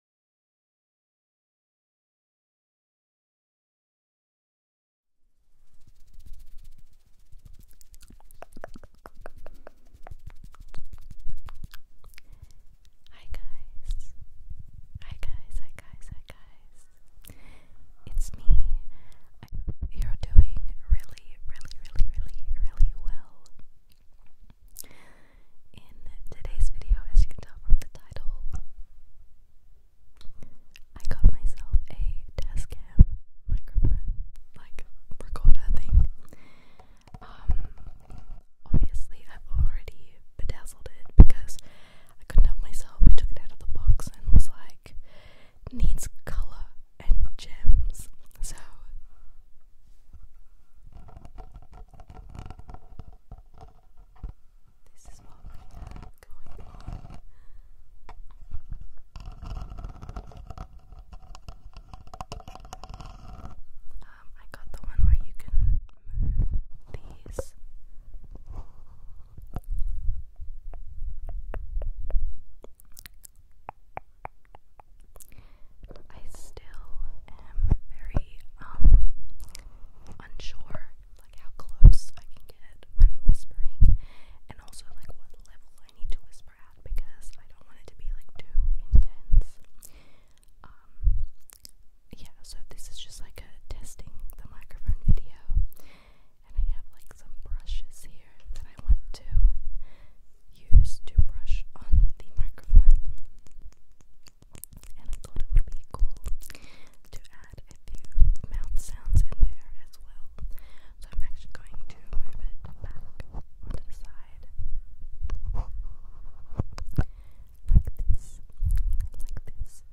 Hi guys. Hi guys, hi guys, hi guys. It's me. you're doing really, really, really, really, really well. In today's video, as you can tell from the title, I got myself a desk like recorder thing. Um, obviously, I've already bedazzled it because I couldn't help myself. I took it out of the box and was like, needs color and gems. So, this is what we have going on. Um, I got the one where you can these. I still am very um unsure like how close I can get when whispering and also like what level I need to whisper at because I don't want it to be like too intense. Um yeah, so this is just like a testing the microphone video and I have like some brushes here here that I want to use to brush on the microphone. And I thought it would be cool to add a few mouth sounds in there as well. So I'm actually going to move it back onto the side. Like this. Like this.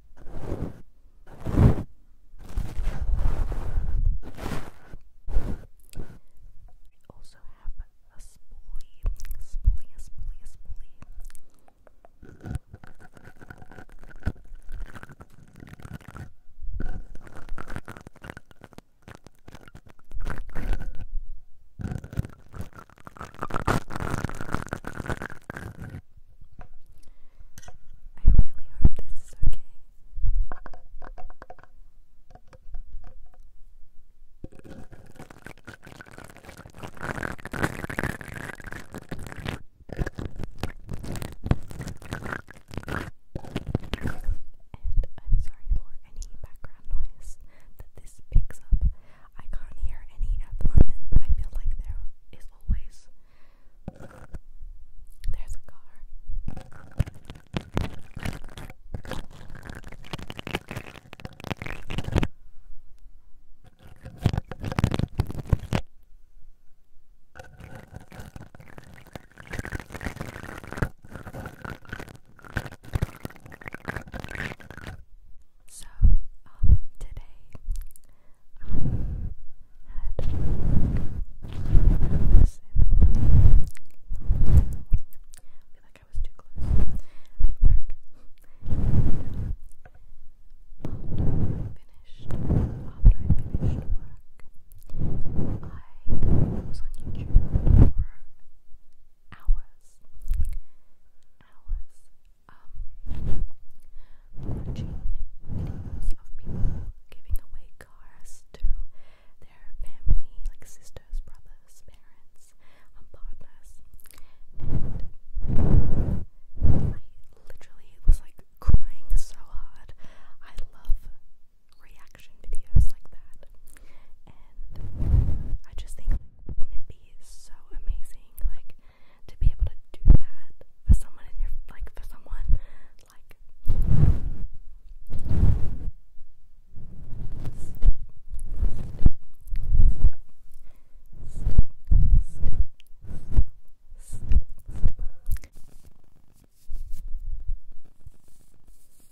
I also have a spoolie, a spoolie, a spoolie, a spoolie really hope this is okay. And I'm sorry for any background noise that this picks up. I can't hear any at the moment, I feel like there is always. There's a car. So, um, today had this I was too close. I had work. And I finished, after I finished work, I was on YouTube for hours, hours, um, watching videos of people giving away cars to their family, like sisters, brothers, parents, partners, and I literally was like crying so hard. I love reaction videos like that. And I just think would be so amazing like to be able to do that for someone in your like for someone like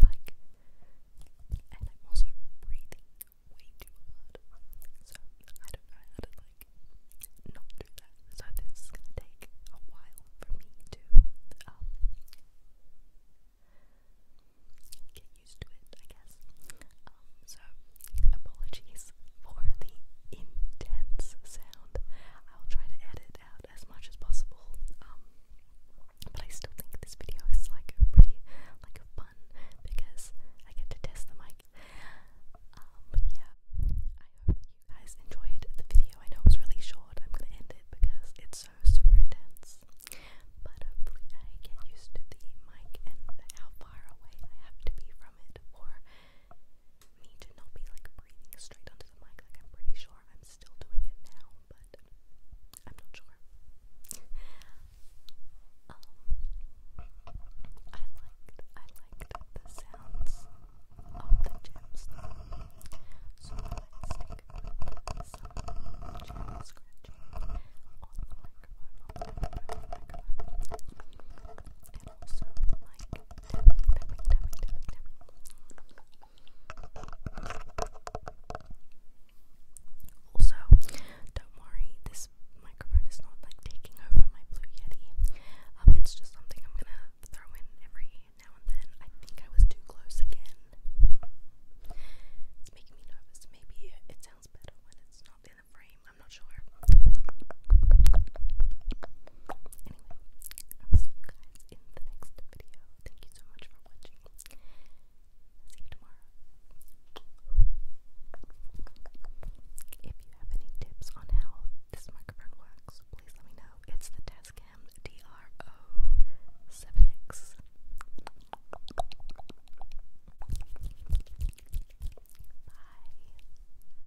like, and I'm also breathing way so I don't know how to like not do that. So this is a while for me to um, get used to it, I guess. Um, so apologies for the intense sound. I'll try to edit out as much as possible. Um, but I still think this video is like pretty like fun because I get to test the mic. Um, yeah, I hope you guys enjoyed the video. I know it really short. I'm gonna end it because it's so super intense. But hopefully, I get used to the mic and how far away I have to be from it, or me to not be like breathing straight onto the mic. I'm pretty sure I'm still doing it now, but I'm not sure. Um, I liked, I liked the sounds of the gems, so I stick with some gem on the microphone. and also like also, don't worry, this microphone is not like taking over my Blue Yeti. Um, it's just something I'm gonna throw in every now and then. I think I was too close again. It's making Maybe it sounds better when it's not in the frame. I'm not sure. I'll see you guys in the next video. Thank you so much for watching. See you tomorrow. If you have any tips on how this microphone works, please let me know. It's the Tascam DRO7X. Bye.